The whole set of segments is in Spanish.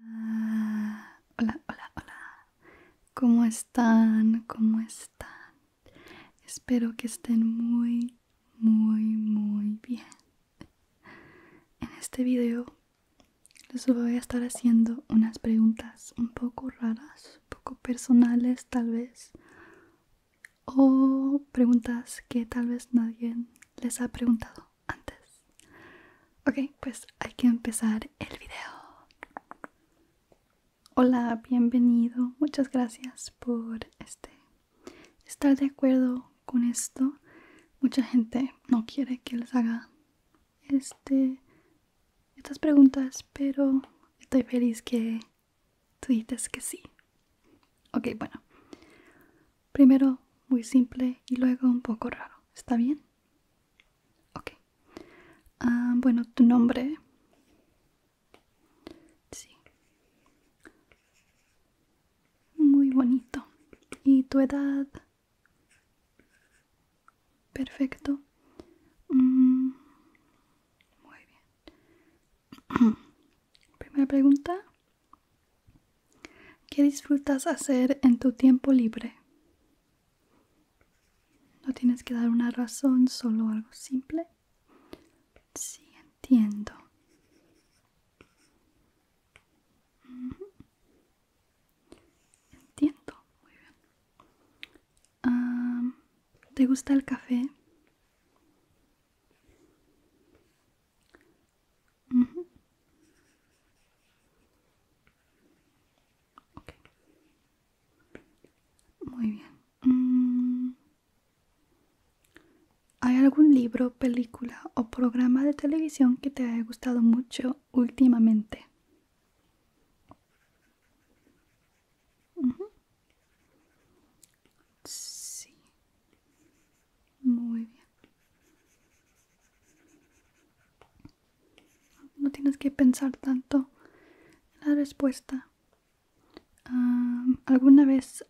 Ah, hola, hola, hola. ¿Cómo están? ¿Cómo están? Espero que estén muy, muy, muy bien. En este video les voy a estar haciendo unas preguntas un poco raras, un poco personales tal vez, o preguntas que tal vez nadie les ha preguntado antes. Ok, pues hay que empezar el video. Hola, bienvenido. Muchas gracias por este estar de acuerdo con esto. Mucha gente no quiere que les haga este estas preguntas, pero estoy feliz que tú dices que sí. Ok, bueno. Primero muy simple y luego un poco raro. ¿Está bien? Ok. Ah, bueno, tu nombre. Sí. Muy bonito. ¿Y tu edad? Perfecto. Mm, muy bien. Primera pregunta. ¿Qué disfrutas hacer en tu tiempo libre? No tienes que dar una razón, solo algo simple. Sí, entiendo. Entiendo, muy bien. ¿Te gusta el café? Muy bien. Mm. ¿Hay algún libro, película o programa de televisión que te haya gustado mucho últimamente? Sí. Muy bien. No tienes que pensar tanto en la respuesta. ¿Alguna vez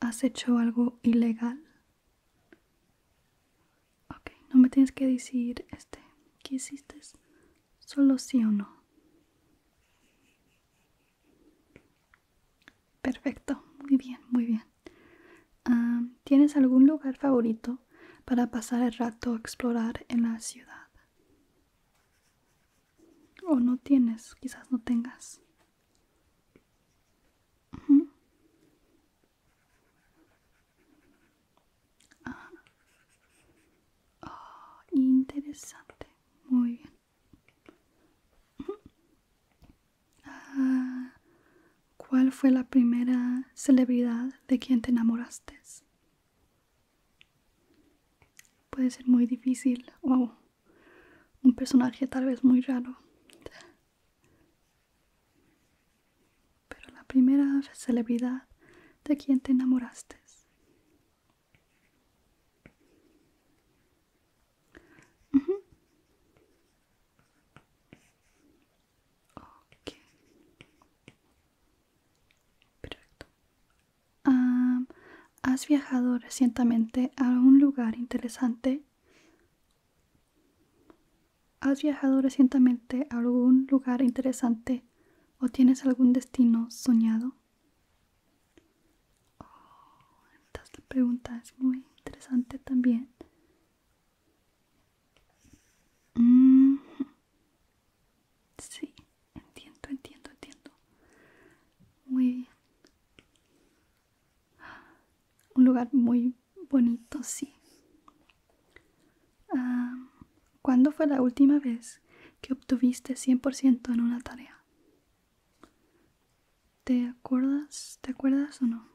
has hecho algo ilegal? Ok, no me tienes que decir este. ¿Qué hiciste? Solo sí o no. Perfecto, muy bien, muy bien. Ah, ¿Tienes algún lugar favorito para pasar el rato a explorar en la ciudad? ¿O no tienes? Quizás no tengas. Ah. Oh, interesante. Muy bien. Ah, ¿Cuál fue la primera celebridad de quien te enamoraste? Puede ser muy difícil o un personaje tal vez muy raro. Pero la primera celebridad de quien te enamoraste. Perfecto. ¿Has viajado recientemente a algún lugar interesante? ¿Has viajado recientemente a algún lugar interesante o tienes algún destino soñado? Oh, esta pregunta es muy interesante también. Mm. Sí, entiendo, entiendo, entiendo. Muy bien. Un lugar muy bonito, sí. Ah, ¿Cuándo fue la última vez que obtuviste 100% en una tarea? ¿Te acuerdas? ¿Te acuerdas o no?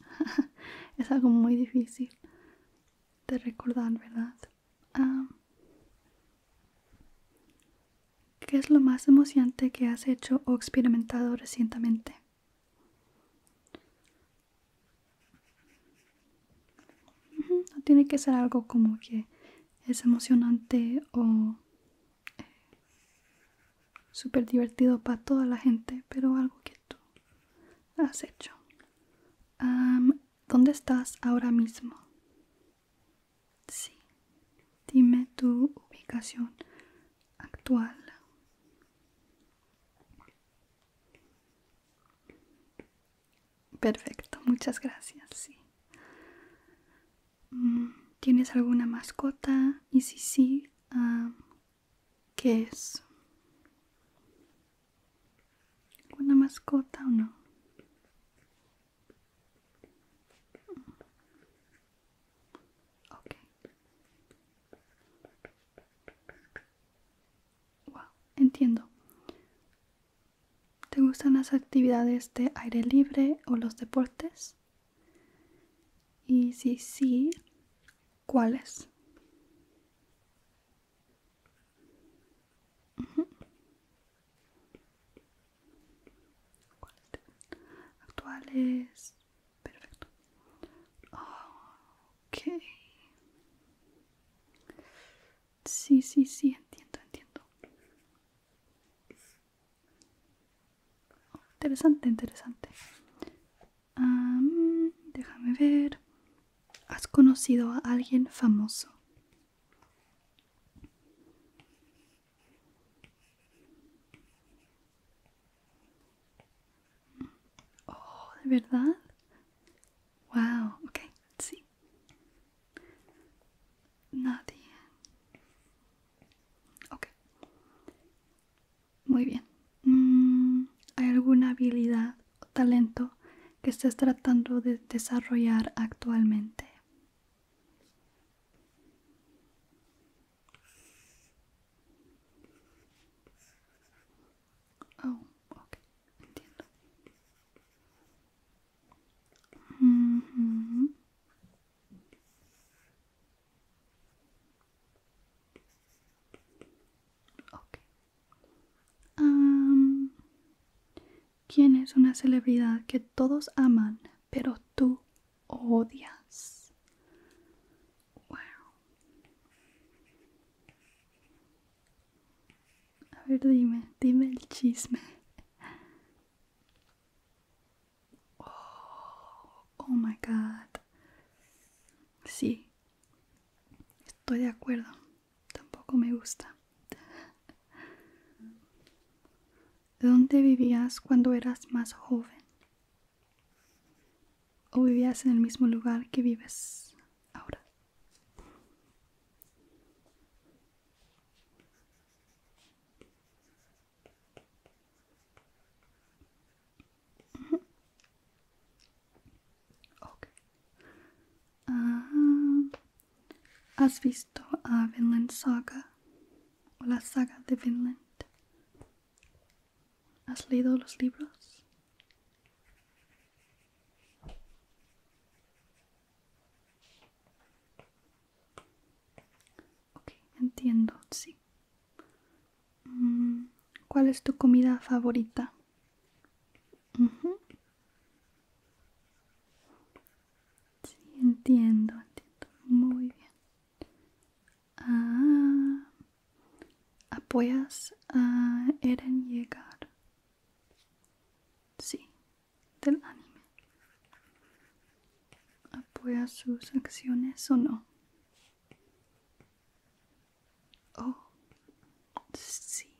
es algo muy difícil de recordar, ¿verdad? ¿Qué es lo más emocionante que has hecho o experimentado recientemente? No tiene que ser algo como que es emocionante o eh, super divertido para toda la gente, pero algo que tú has hecho. ¿Dónde estás ahora mismo? Sí. Dime tu ubicación actual. Perfecto, muchas gracias. Sí. Mm, ¿Tienes alguna mascota? Y si sí, ah, ¿qué es? ¿Una mascota o no? Okay entiendo. ¿Te gustan las actividades de aire libre o los deportes? Y si sí, ¿cuáles? Actuales. Perfecto. Ah, Ok. Sí, sí, sí, entiendo, entiendo. interesante, interesante. déjame ver. ¿Has conocido a alguien famoso? Oh, ¿de verdad? Wow, ok, sí. Nadie. Ok. Muy bien. Mm, ¿Hay alguna habilidad o talento que estés tratando de desarrollar actualmente? Oh, okay, entiendo. Mm-hmm. ¿Quién es una celebridad que todos aman, pero tú odias? A ver, dime, dime el chisme. Oh, oh, my god. Sí, estoy de acuerdo. Tampoco me gusta. ¿Dónde vivías cuando eras más joven? o vivías en el mismo lugar que vives ahora. Ah, ¿Has visto a Vinland Saga o la saga de Vinland? ¿Has leído los libros? entiendo, sí. Mm, ¿Cuál es tu comida favorita? Sí, entiendo, entiendo. Muy bien. Ah, apoyas a Eren llegar. Sí, del anime. ¿Apoyas sus acciones o no? Oh, sí.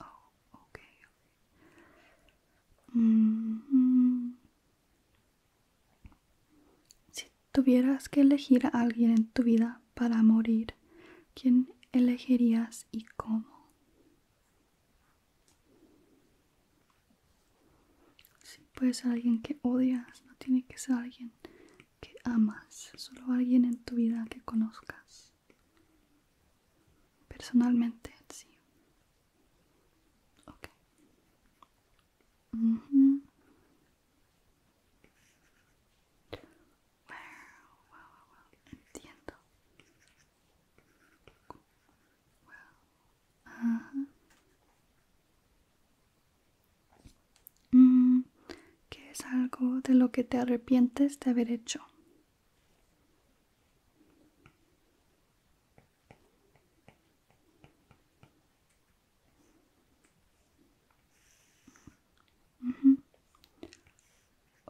Oh, ok. Mm, si tuvieras que elegir a alguien en tu vida para morir, ¿quién elegirías y cómo? Si puede ser alguien que odias, no tiene que ser alguien que amas, solo alguien en tu vida que conozcas. Personalmente, sí. Ok. Mm, ¿Qué es algo de lo que te arrepientes de haber hecho?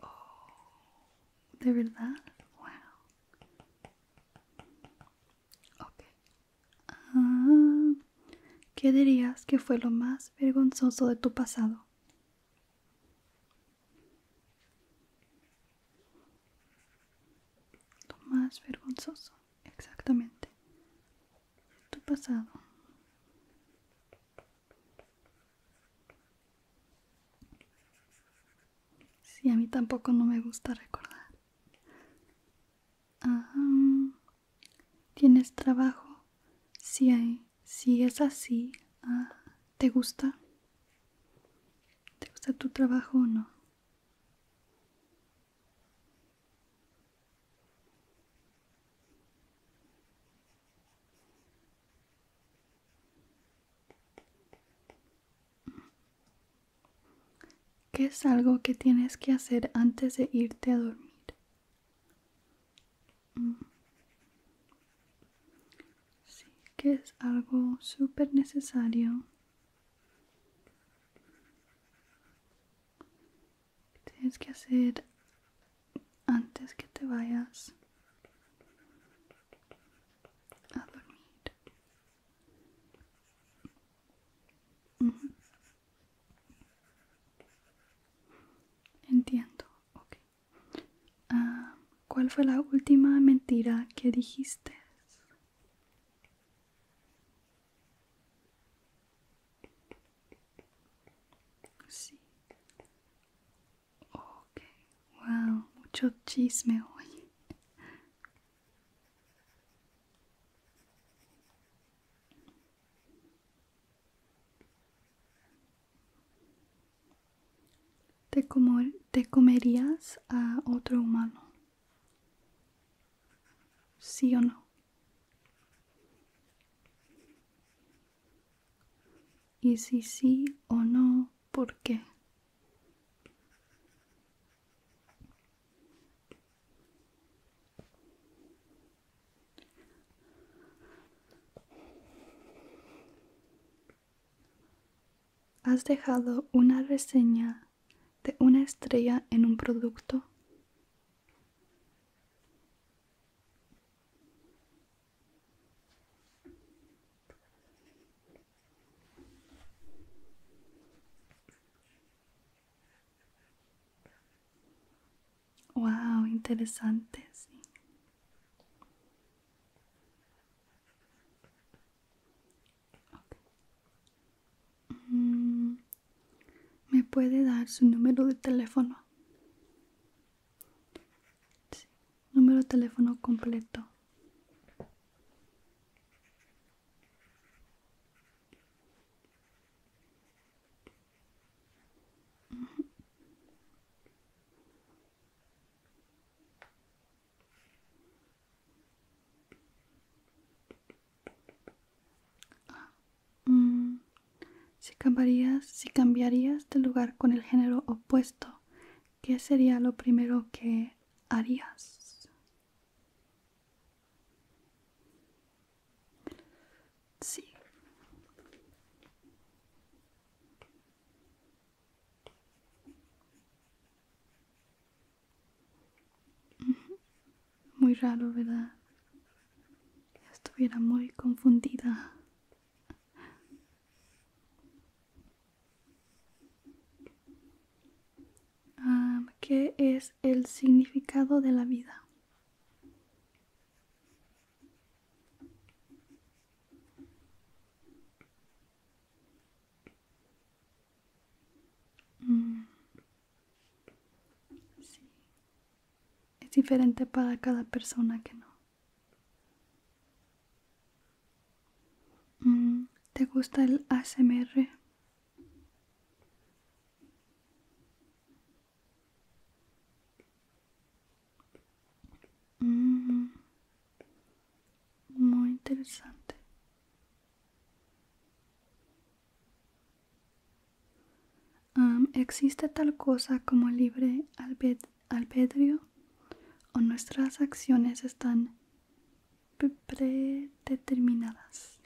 Oh, ¿De verdad? ¡Wow! Ah, ¿Qué dirías que fue lo más vergonzoso de tu pasado? Lo más vergonzoso exactamente tu pasado sí, a mí tampoco no me gusta recordar ah, tienes trabajo si sí, sí, es así ah, te gusta te gusta tu trabajo o no ¿Qué es algo que tienes que hacer antes de irte a dormir? Mm. Sí, que es algo súper necesario ¿Qué tienes que hacer antes que te vayas a dormir. Entiendo, ok. Ah, ¿Cuál fue la última mentira que dijiste? wow, mucho chisme hoy. ¿Te comerías a otro humano? ¿Sí o no? Y si sí o no, ¿por qué? Has dejado una reseña de una estrella en un producto? Wow, interesante, sí. Mm, ¿Me puede dar su número de teléfono? Número de teléfono completo. Ah, mm. si cambiarías, si cambiarías de lugar con el género opuesto, ¿qué sería lo primero que harías? Sí. Muy raro, ¿verdad? estuviera muy confundida. Ah, ¿Qué es el significado de la vida? Mm. Es diferente para cada persona que no. Mm. ¿Te gusta el ASMR? Mm. Muy interesante. ¿Existe tal cosa como libre albedrio ¿O nuestras acciones están predeterminadas?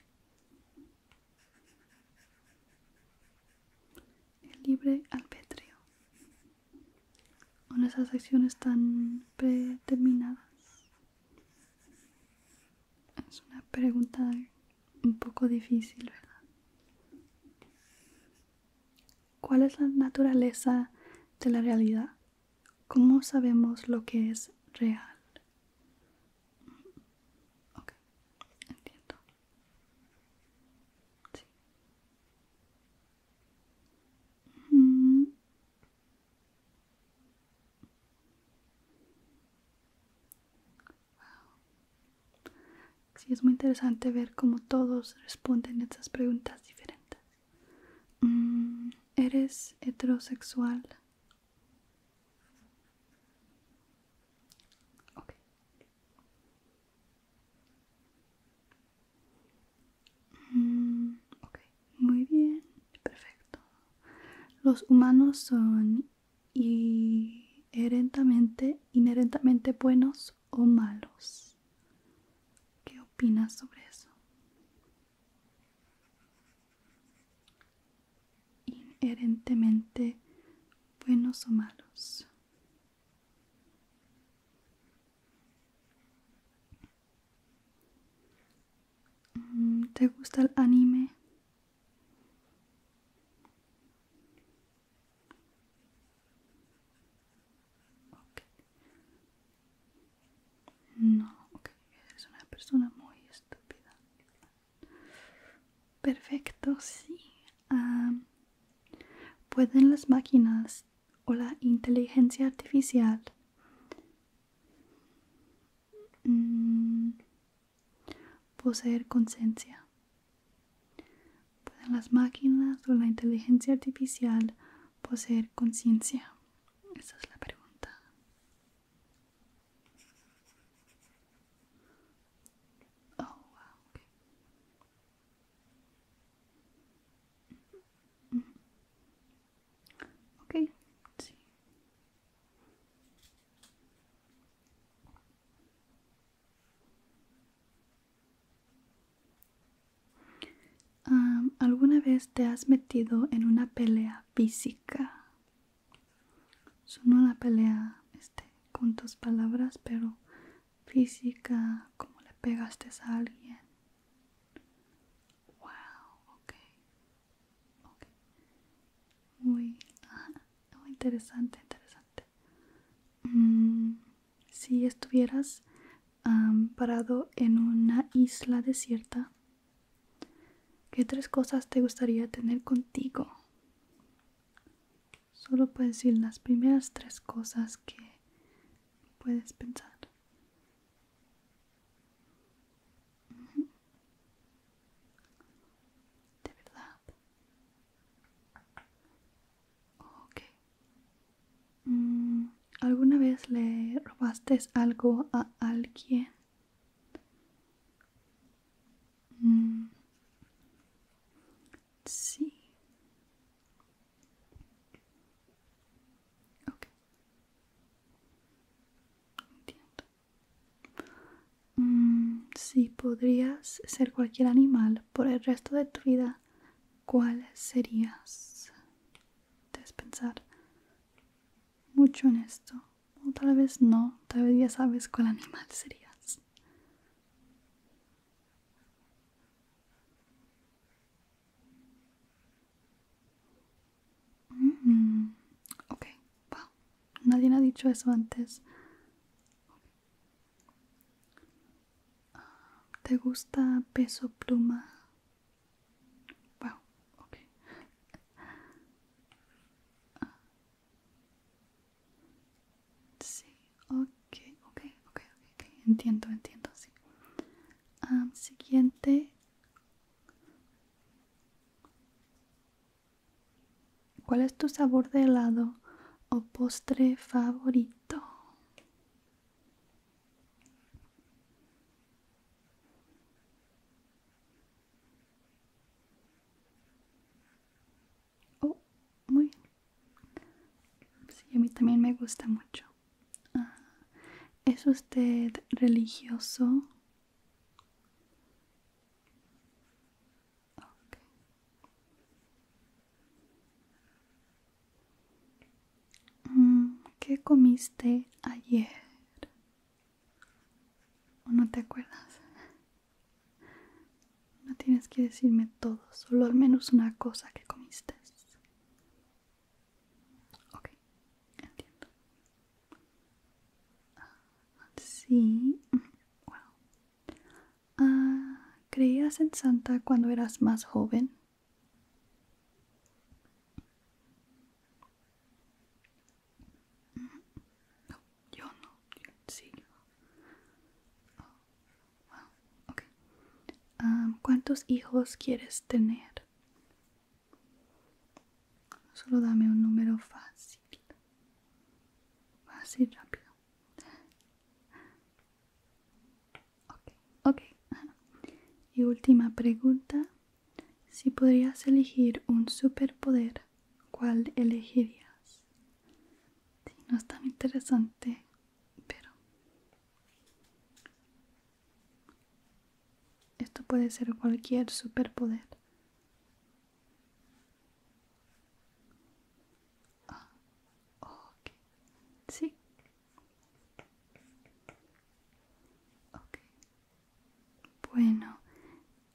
El libre albedrio ¿O nuestras acciones están predeterminadas? Es una pregunta un poco difícil, ¿verdad? ¿Cuál es la naturaleza de la realidad? ¿Cómo sabemos lo que es real? entiendo. Mm es muy interesante ver cómo todos responden estas preguntas diferentes. Mm, ¿Eres heterosexual? Mm, muy bien, perfecto. Los humanos son inherentemente, inherentemente buenos o malos. ¿Qué opinas sobre eso? Inherentemente buenos o malos. Mm, ¿Te gusta el anime? No, Es una persona muy estúpida. Perfecto, sí. Ah, ¿Pueden las máquinas o la inteligencia artificial. Mm, poseer conciencia. Pueden las máquinas o la inteligencia artificial poseer conciencia. Esa es la pregunta. Oh, mm, Ok, ¿Alguna vez te has metido en una pelea física? No una pelea este, con tus palabras, pero física, como le pegaste a alguien. Wow, ok. okay. Muy, ah, interesante, interesante. Mm, si estuvieras parado en una isla desierta, ¿qué tres cosas te gustaría tener contigo? Solo puedes decir las primeras tres cosas que puedes pensar. ¿De verdad? Mm, ¿Alguna vez le robaste algo a alguien? Mm, sí. Mm, si podrías ser cualquier animal por el resto de tu vida, ¿cuál serías? Debes pensar mucho en esto. O tal vez no, tal vez ya sabes cuál animal serías. Mm okay Ok, wow, nadie ha dicho eso antes. ¿Te gusta peso pluma? Wow, okay, Sí, okay, okay, okay, ok, entiendo, entiendo, sí siguiente ¿Cuál es tu sabor de helado o postre favorito? Oh, muy Sí, a mí también me gusta mucho. Ah, ¿Es usted religioso? Mm, ¿Qué comiste ayer? ¿O no te acuerdas? No tienes que decirme todo, solo al menos una cosa que comiste. Ok, entiendo. let's see. Well, ¿Creías en Santa cuando eras más joven? Mm, no, yo no, sí. Ah, ¿Cuántos hijos quieres tener? Solo dame un número fácil. Fácil, rápido. Ok, Y última pregunta. Si podrías elegir un superpoder, ¿cuál elegirías? no es tan interesante pero esto puede ser cualquier superpoder ah, sí bueno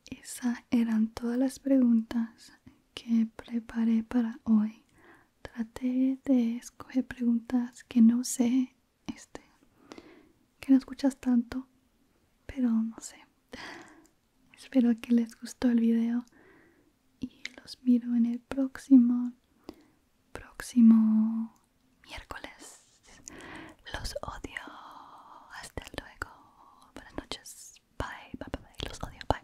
esas eran todas las preguntas que preparé para hoy traté de escoger preguntas que no sé, este, que no escuchas tanto, pero no sé. Espero que les gustó el video y los miro en el próximo, próximo miércoles. Los odio. Hasta luego. Buenas noches. Bye, bye, bye. Los odio. Bye.